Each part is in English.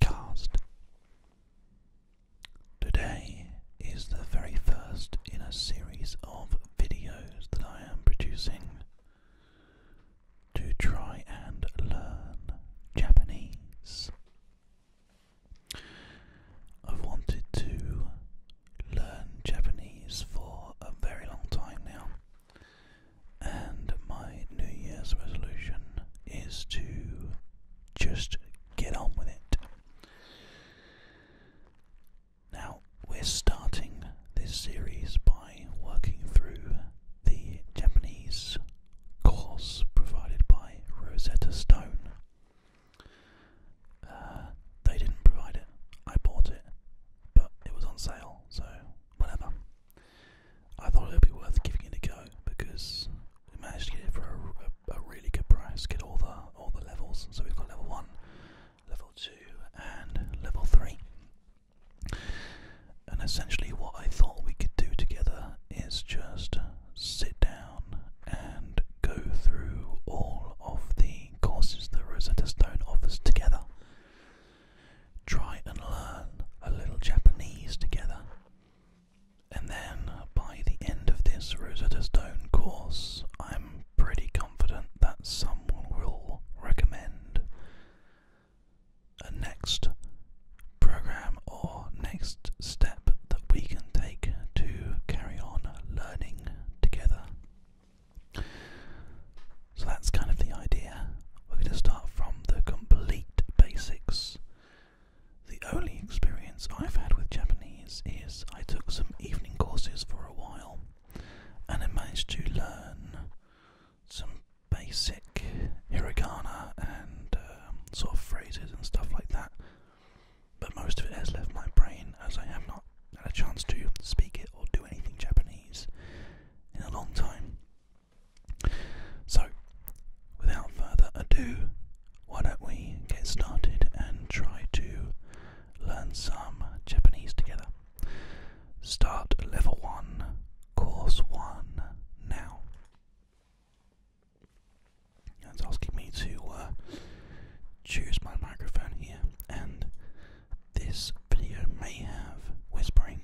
Cast. Today is the very first in a series of videos that I am producing to try and learn Japanese. I've wanted to learn Japanese for a very long time now and my New Year's resolution is to just get on with it. Now, we're starting this series by working through the Japanese course provided by Rosetta Stone. Uh, they didn't provide it, I bought it, but it was on sale, so whatever. I thought it would be worth giving it a go because we managed to get it for a, really good price. Get all the all the levels. So we've got level one, level two, and level three. And essentially, what I thought we could do together is just sit down and go through all of the courses that Rosetta Stone offers together try and learn a little Japanese together. And then by the end of this Rosetta Stone course, I'm pretty confident that someone will recommend a next program or next step that we can take to carry on learning together. So that's kind of the idea. We're going to start from the complete basics. The only experience I've had with Japanese is I took some evening courses for a while and I managed to learn some basic hiragana and um, sort of phrases and stuff like that. But most of it has left my brain as I have not had a chance to speak it or do anything Japanese in a long time. So, without further ado, why don't we get started and try to learn some Japanese together? Start level 1, course 1 now. It's asking me to uh, choose my microphone here, and this video may have whispering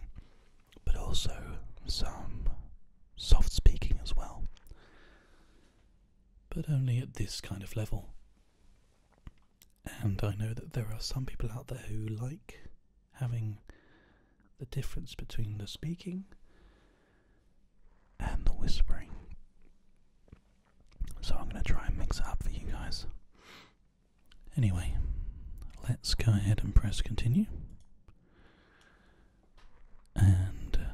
but also some soft speaking as well, but only at this kind of level. And I know that there are some people out there who like having the difference between the speaking and the whispering. So I'm going to try and mix it up for you guys. Anyway, let's go ahead and press continue. And uh,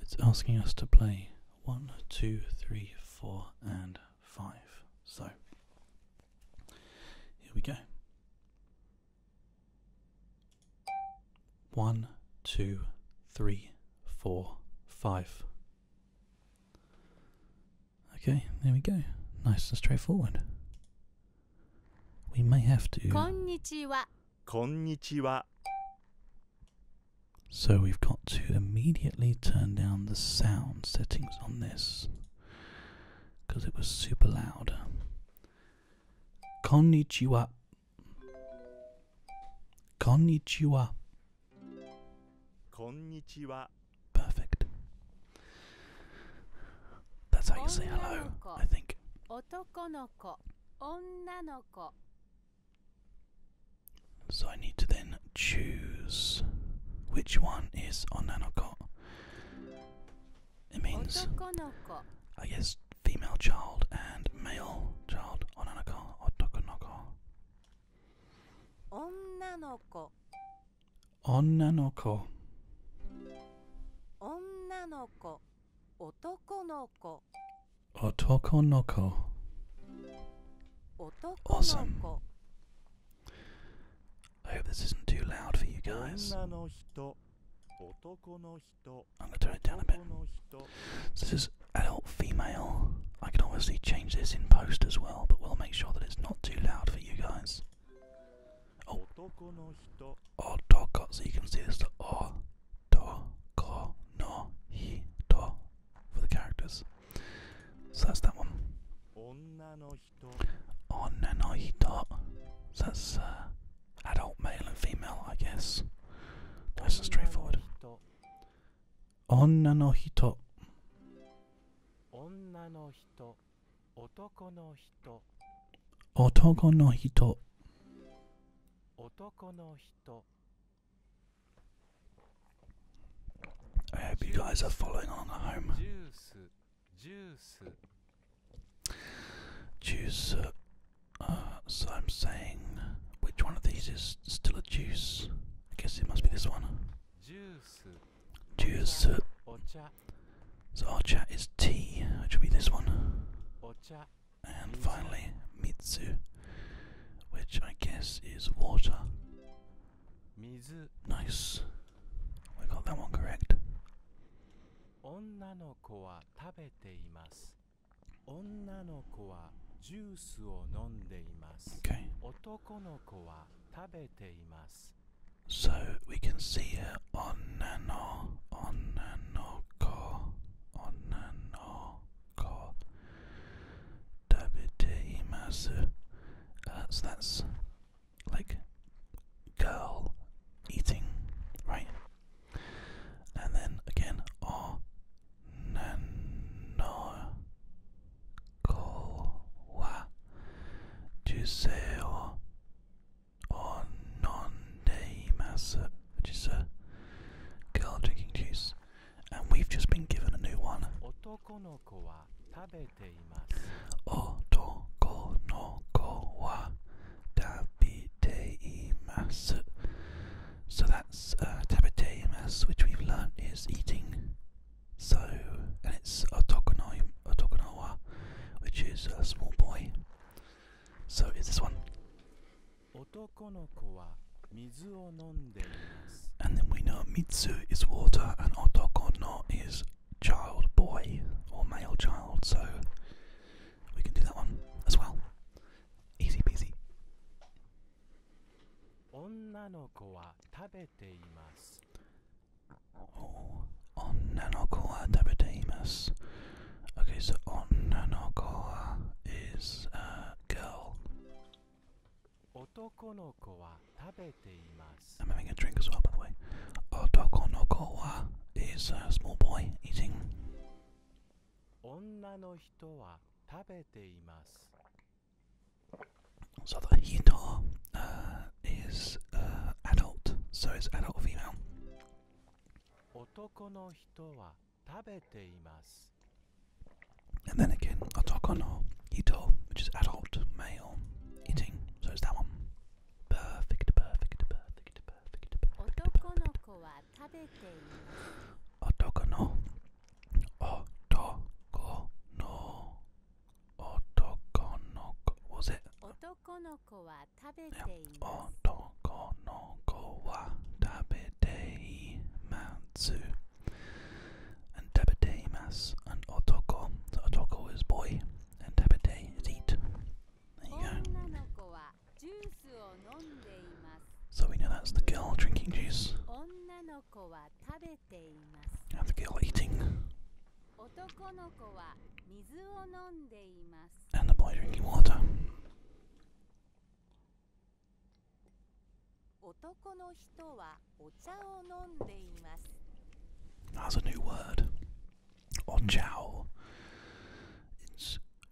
it's asking us to play 1, 2, 3, 4, and 5. So, here we go. 1, 2, 3, 4, 5. Okay, there we go. Nice and straightforward. We may have to. Konnichiwa. Konnichiwa. So we've got to immediately turn down the sound settings on this because it was super loud. Konnichiwa. Konnichiwa. Konnichiwa. Perfect. That's how you say hello, I think. So I need to then choose which one is onanoko. It means, I guess, female child and male child. Onanoko, otokonoko. Onnanoko. 女の子女の子男の子男の子 Awesome. I hope this isn't too loud for you guys. I'm going to turn it down a bit. this is adult female. I can obviously change this in post as well, but we'll make sure that it's not too loud for you guys. Oh, otoko. So you can see this the otoko no hito for the characters. So that's that one. Onna no hito. So that's uh, adult male and female, I guess. Nice and straightforward. Onna no hito. 女の人人男の人男の人男の人 I hope you guys are following along home. Juice, juice, juice. Uh, uh, so I'm saying, which one of these is still a juice? I guess it must be this one. Juice. So Archa is tea, which will be this one. And finally, Mitsu, which I guess is water. Nice. We got that one correct. Okay. So we can see her on nano, on nano car, on nano car. Dabiteimasu. Uh, so that's like girl eating, right? And then again, on nano wa Juseo juice. And we've just been given a new one. Otoko no ko wa tabeteimasu. So that's uh, tabeteimasu, which we've learned is eating so, and it's Otokonawa, which is a small boy. So, it's this one? And then we know Mitsu is water and Otoko is child boy or male child, so we can do that one as well. Easy peasy. 女の子は食べています。Okay, so 女の子は is a girl. 男の子は食べています。I'm having a drink as well, by the way. 男の子は is a small boy eating. 女の人は食べています。So the Hidor uh, is uh, adult, so it's adult female. And then again, Otoko no which is adult male eating, so it's that one. Perfect, perfect, Otoko no ko, was it? Otoko no ko wa tabete imasu. Otoko no ko wa tabete imatsu. And tabete imasu and otoko. So otoko is boy and tabete is eat. There you go. So we know that's the girl drinking juice. I have to eating. And the boy drinking water. 男の人はお茶を飲んでいます。That's a new word. Ochao.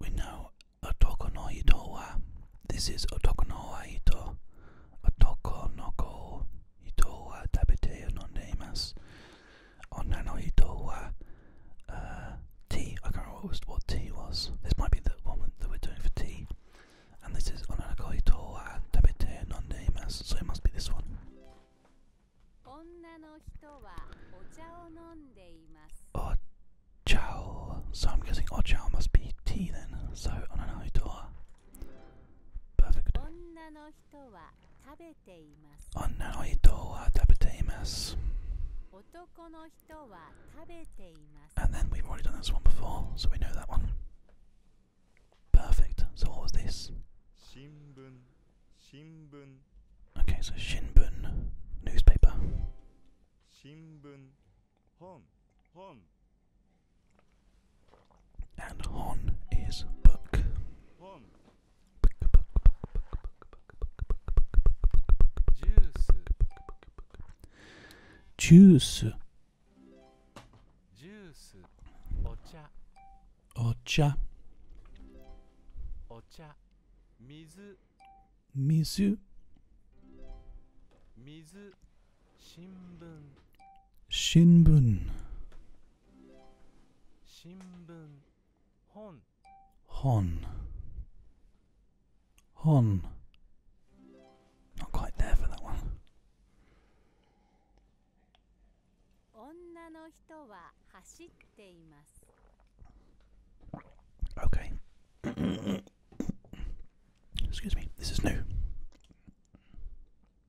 we know otoko no hito wa. This is otoko no wa Otoko no ko 人は食べて飲んでいます。女の人は oh, uh, tea. I can't remember what, what tea was. This might be the one that we're doing for tea. And this is onanako oh, ito tabete nondeimasu. So it must be this one. Ochao. Oh, so I'm guessing ochao must be tea then. So onanako ito Perfect. Onna no And then we've already done this one before, so we know that one. Perfect. So what was this? Shinbun. Okay, so shinbun, newspaper. And Hon is book. Juice. Juice. Ocha. Ocha. Mizu. Mizu. Shinbun. Shinbun. Shinbun. Hon. Hon. Not quite there for that one. Okay. Excuse me, this is new.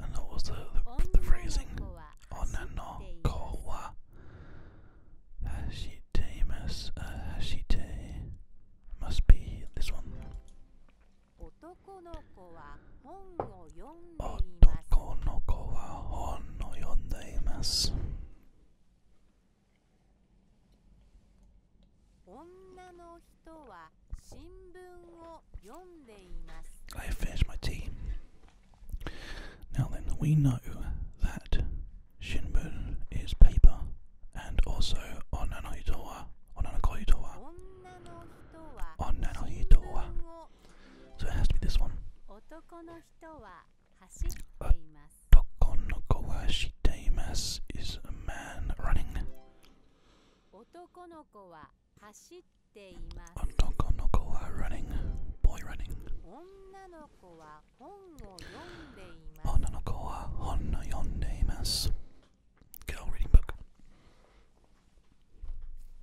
and what was the, the, the phrasing? Onano ko wa hashite mas uh, hashite must be this one. Otoko no ko wa hon no yonde I finished my tea. Now then, we know that Shinbun is paper, and also Onanohitowa, Onanokoitowa, Onanohitowa. So it has to be this one. Otokonoko wa shiteimasu is a man running. 男の子は走っています。男の子は running, boy running。女の子は本を読んでいます。女の子は本を読んでいます。Girl reading book。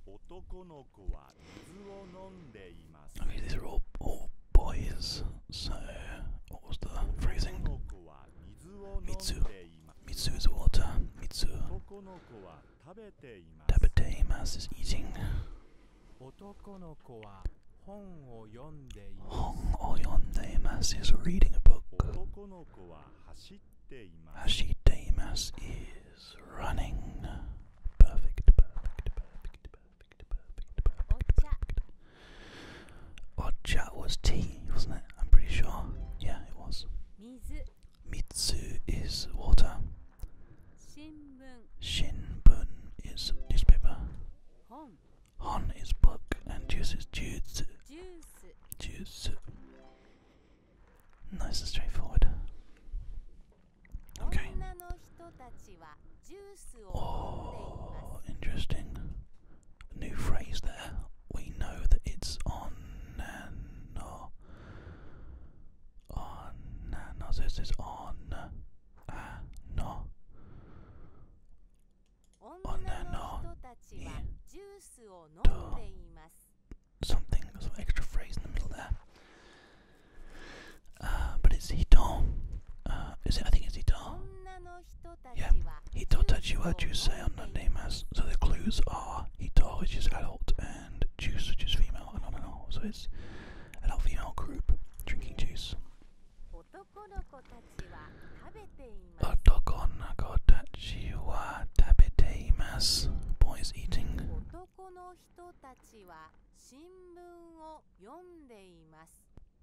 男の子は水を飲んでいます。Okay, these are all, all boys. So, what was the phrasing? 水を飲んでいます。Mitsu is water. Mitsu. Tabete imasu is eating. Hong oyonde imasu is reading a book. Hashite imasu is running. Odd chat was tea, wasn't it? I'm pretty sure. Yeah, it was. Mizu is water. Shinbun is newspaper. Hon, Hon is book, and juice is juice. Juice. Juice. Nice and straightforward. Okay. Oh, interesting new phrase there. We know that it's on and on. On no, this is on no. On and Something, some extra phrase in the middle there. Uh, but it's hiton. Uh, is it? I think it's hiton. Yeah, Hitotachi wa Jusei unknown name as. So the clues are Hito, which is adult, and Juice, which is female, and on and on. So it's adult female group drinking juice. Otoko nako tachi wa tabete imasu. Boys eating.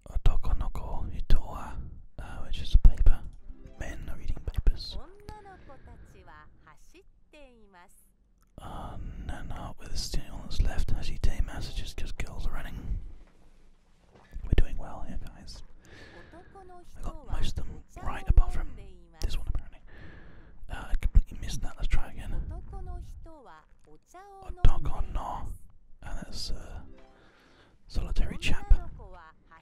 Otoko noko hito wa, uh, which is paper men are reading papers. Uh, no, no, with the steering on its left, Hashite messages because girls are running. We're doing well here, guys. I got most of them right, apart from this one apparently. Uh, I completely missed that. Let's try again. Oh, dog on no. And that's a solitary chap.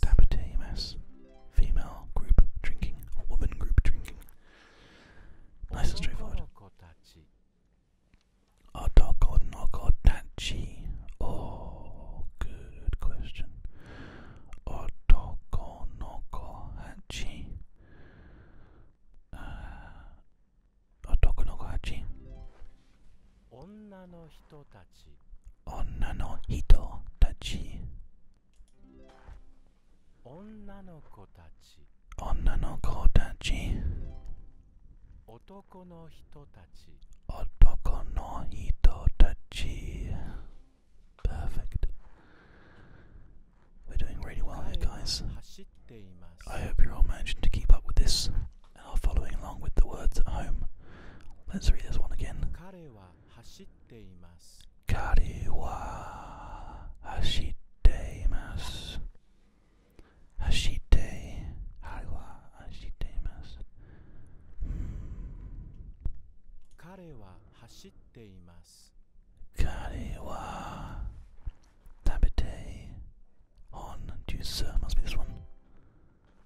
Tabatemas. Female group drinking. Or woman group drinking. Nice and straightforward. Otokonokotachi. Oh, oh, good question. Otokonokohachi. Oh, uh, Otokonokohachi. Oh, 女の人たち女の人たち女の子たち女の子たち男の人たち男の人たち Perfect We're doing really well here guys I hope you're all managing to keep up with this following along with the words at home. Let's read this one again. Kare wa hashiteimasu. Hashite. Hmm. Kare wa hashiteimasu. Kare wa hashiteimasu. Kare wa tabete on juice. Must be this one.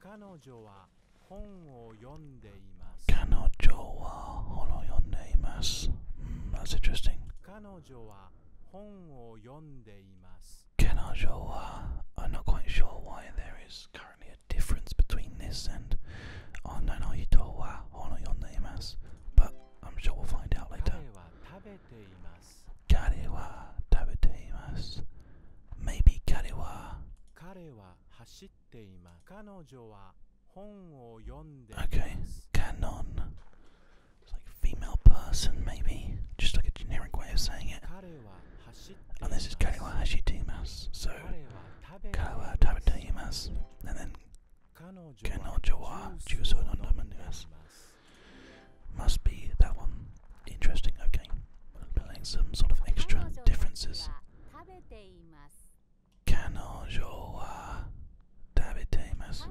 Kanojo wa Kanojo wa hono yonde imasu. Mm, that's interesting. Kanojo wa hon wo yonde imasu. Kanojo wa. I'm not quite sure why there is currently a difference between this and on no ito wa hono yonde imasu, but I'm sure we'll find out later. Kare wa tabete imasu. Maybe kare wa 彼は走っています。彼女は本を読んでいます。Okay, canon. It's like female person, maybe. Just like a generic way of saying it. And this is Karewa Hashitimas. So, Karewa Tabatayimas. And then, Kanojo wa Juso no Namandimas. Must be that one. Interesting, okay. i some sort of extra differences. Kanojo wa tabeteimasu.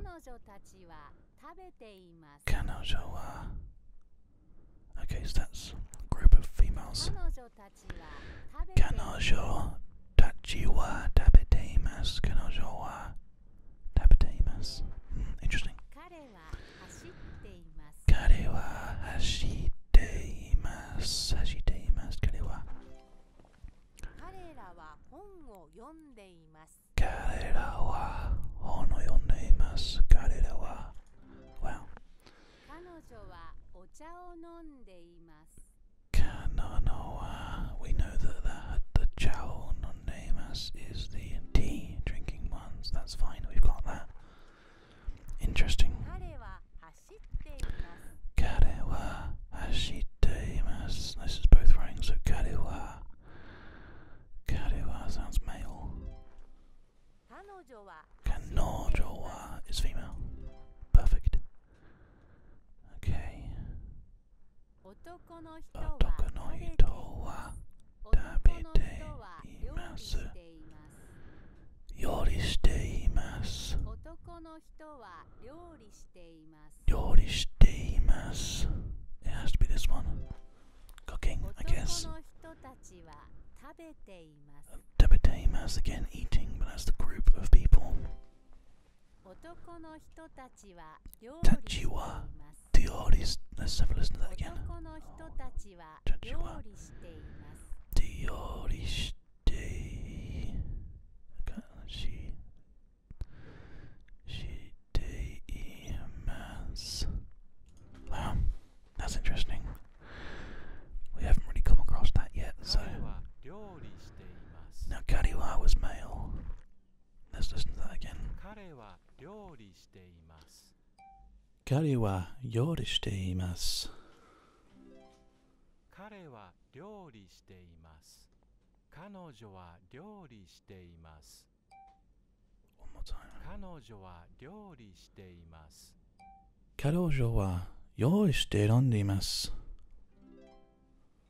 Okay, so that's a group of females. Kanojo tachi hmm, Interesting. Kare wa hashite imasu. Hashite imasu. Kare wa. Karera wa hon o yonde imasu. Karera wa hon o yonde Wow. Kanojo wa ocha o nonde imasu. Kanono wa. We know that the tea drinking ones. That's fine. We've got that. Interesting. Kare wa hashite This is both writing, so kare wa. Kare wa sounds male. Kanojo wa is female. Perfect. Okay. Otoko no hito wa 食べています料理しています男の人は料理しています料理しています It has to be this one Cooking, I guess 食べています again eating, but that's the group of people. Tachiwa Dioris. Let's have listen that again. ちは料理しています。料理してししています。Wow, that's interesting. We haven't really come across that yet, so. Now, Kariwa was male. Let's listen to that again. 彼は料理しています。彼は料理しています。彼女は料理しています。彼女は料理しています。彼女は用意して選んでいます。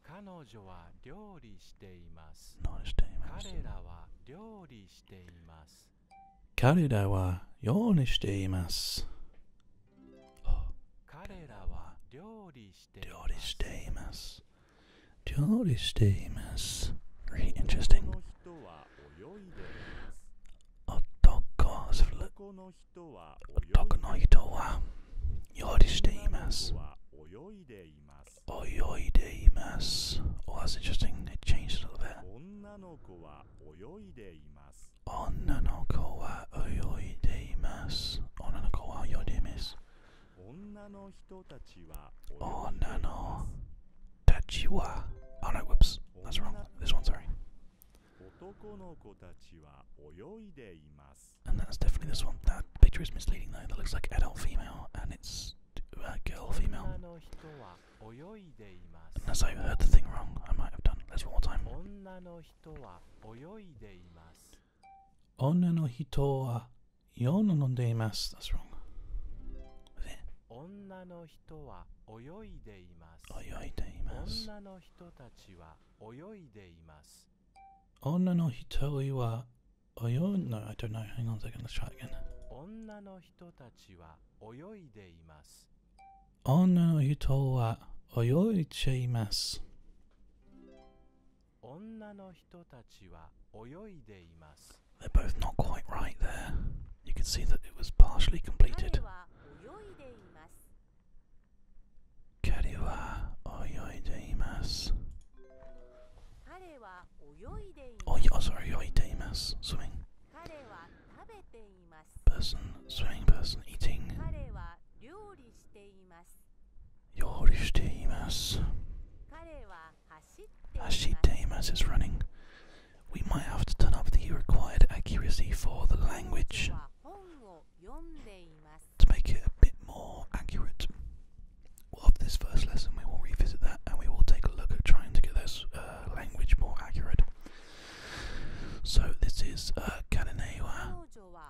彼女は料理しています。彼らは料理しています。彼らは用にしています。彼らは料理しています。料理しています。Very interesting. 男の人は料理しています。泳いでいます。That's oh, interesting. It changed a little bit. 女の子は泳いでいます。女の子は泳いでいます。女の子は泳いでいます。女の人たちは女のたちは whoops. That's wrong. This one, sorry. 男の子たちは泳いでいます。And that's definitely this one. That picture is misleading though. That looks like adult female and it's uh, girl female. Unless I heard the thing wrong, I might have done. Let's one more time. 女の人は泳いでいます。女の人は夜飲んでいます。That's wrong. 女の人は泳いでいます。泳いでいます。女の人たちは泳いでいます。女の人は泳い …No, I don't know. Hang on a second. Let's try again. 女のの人たちは泳いでいます。女の人は泳いでいます。女の人たちは泳いでいます。They're both not quite right there. You can see that it was partially completed. 彼は泳いでいます。Oh, oh, sorry, swimming. Person, swimming person, eating. Yorishiteimasu. Hashiteimasu running. We might have to turn up the required accuracy for the language to make it a bit more accurate of this first lesson, we will revisit that and we will take a look at trying to get those uh, language more accurate. So this is uh, Kanane wa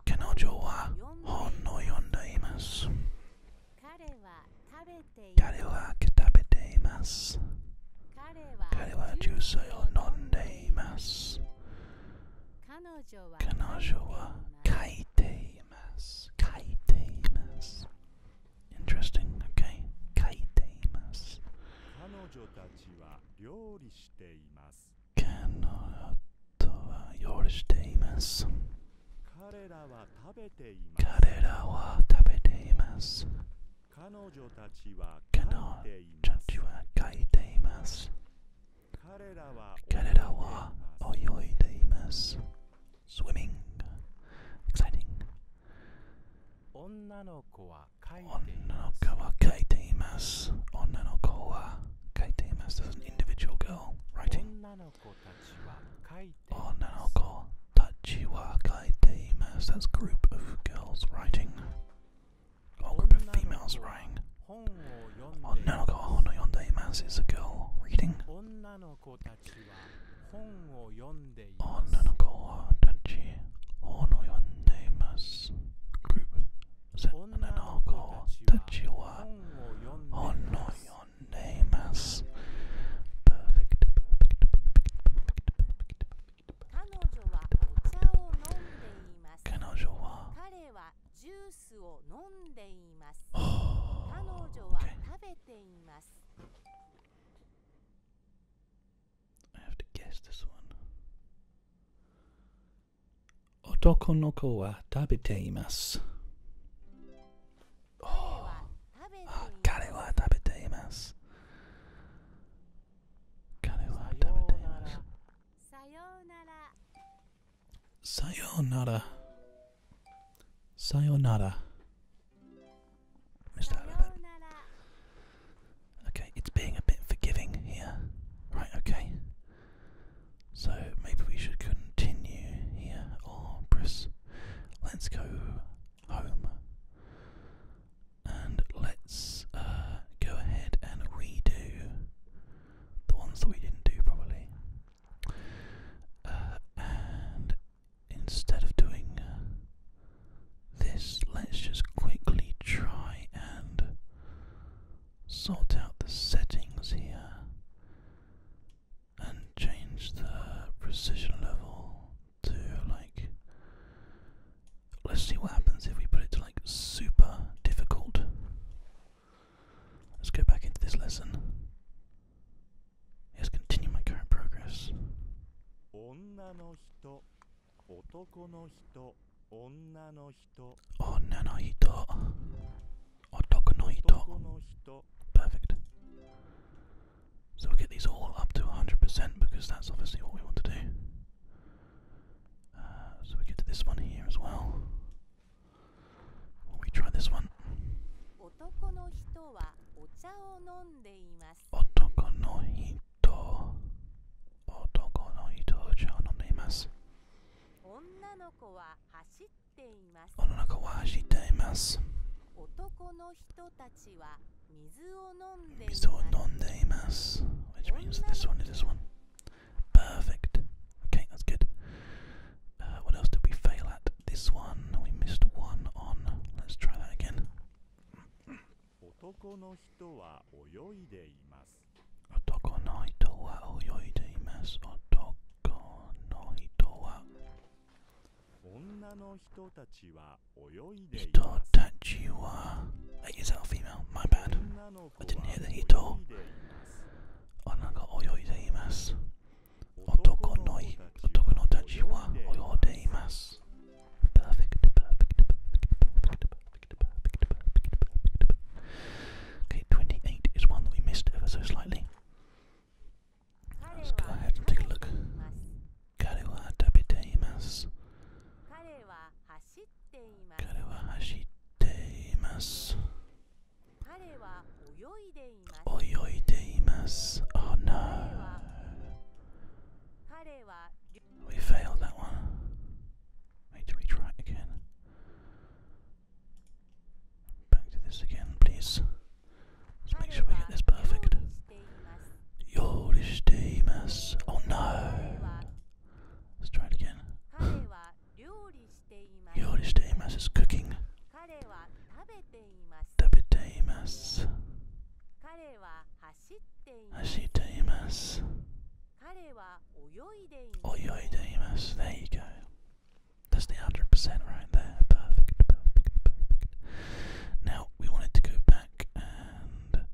Kanojo wa Hon no yondaimasu. Kare wa kitabete Kare wa jusei o Kanojo wa kaite imasu. Interesting, okay. 書いています。彼女たちは料理しています。彼女は料理しています。彼らは食べています。彼らは食彼らは泳いでいます。Swimming. Exciting. Onna no ko wa kaiteimasu. Onna no ko wa kaiteimasu. There's an individual girl writing. Onna no ko tachi wa kaiteimasu. That's group of girls writing. Or group of females writing. Onna no ko hono yondeimasu is a girl reading. 本を読んでいますグルー女の子たちは本を読んでいます perfect, perfect, perfect, 彼女は彼はジュースを飲んでいます彼女は食べています I have to guess this one. Otoko no ko wa Oh, kare wa tabete Kare wa tabete Sayonara. Sayonara. Missed out Okay, it's being a bit forgiving here. Right, okay. So maybe we should continue here or oh, press. Let's go home. And let's uh, go ahead and redo the ones that we didn't do properly. Uh, instead of doing uh, this, let's just quickly try and sort out the settings here and change the precision level to like. Let's see what happens if we put it to like super difficult. Let's go back into this lesson. Yes, continue my current progress. Perfect. So we get these all up to 100% because that's obviously what we want to do. Uh, so we get to this one here as well. We t 男の人はお茶を飲んでいます。男の人、男の人お茶を飲んでいます。女の子は走っています。女の子は走っています。男の人たちは水を飲んでいます。水を飲んでいます。Which means this one is this one. Perfect. Okay, that's good. Uh, what else did we fail at? This one. We missed one on. Let's try that again. Otoko no hito wa oyoide imasu. Otoko female? My bad. I didn't hear the hito. Onna ga Otoko Okay, 28 is one that we missed ever so slightly. Let's go ahead and take a look. Kare wa tabiteimasu. Oyoideimas. We failed that one. Wait, do we again? Back to this again, please. let make sure we get this perfect. Yoristeimas. Oh, no. Let's try it again. Yoristeimas is cooking. 食べています彼は走っています走っています彼は泳いでいます泳いでいます There you go That's the 100% right there Perfect, perfect, perfect Now we wanted to go back and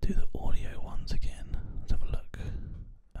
do the audio ones again Let's have a look uh,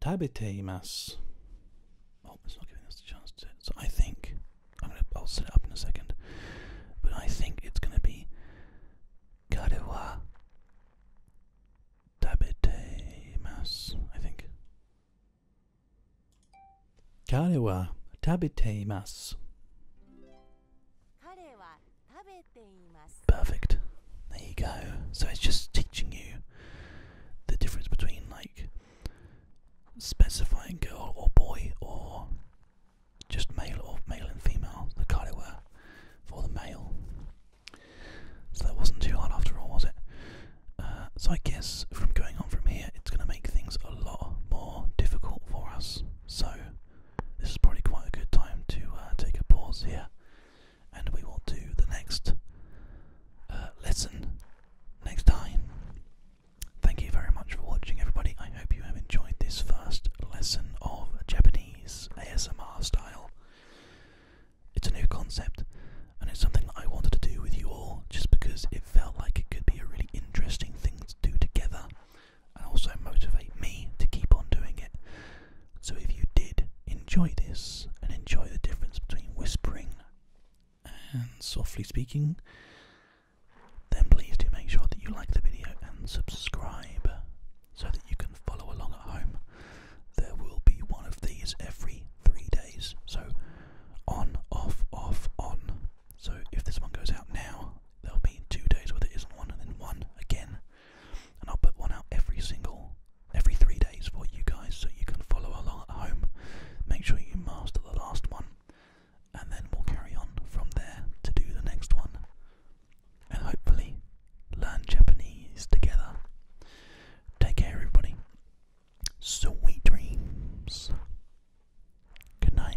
Tabiteimas. Oh, it's not giving us a chance to. So I think I'm gonna. I'll set it up in a second. But I think it's gonna be Karewa I think. Karewa Perfect. There you go. So it's just teaching you the difference between like specifying girl or boy or just male or male and female, the card it were for the male. So that wasn't too hard after all, was it? Uh, so I guess from going on from here, it's going to make things a lot more difficult for us. So this is probably quite a good time to uh, take a pause here, and we will do the next uh, lesson next time. Thank you very much for watching, everybody. I hope you have enjoyed this first lesson of Japanese ASMR style. It's a new concept, and it's something that I wanted to do with you all just because it felt like it could be a really interesting thing to do together and also motivate me to keep on doing it. So, if you did enjoy this and enjoy the difference between whispering and softly speaking, then please do make sure that you like the video and subscribe so that you can follow along at home. There will be one of these every three days. So on, off, off, on. So if this one goes out now, there'll be two days where there isn't one and then one again. And I'll put one out every single every three days for you guys so you can follow along at home. Make sure you master the last one, and then we'll carry on from there to do the next one. And hopefully, learn Japanese together. Take care, everybody. Sweet dreams. Good night.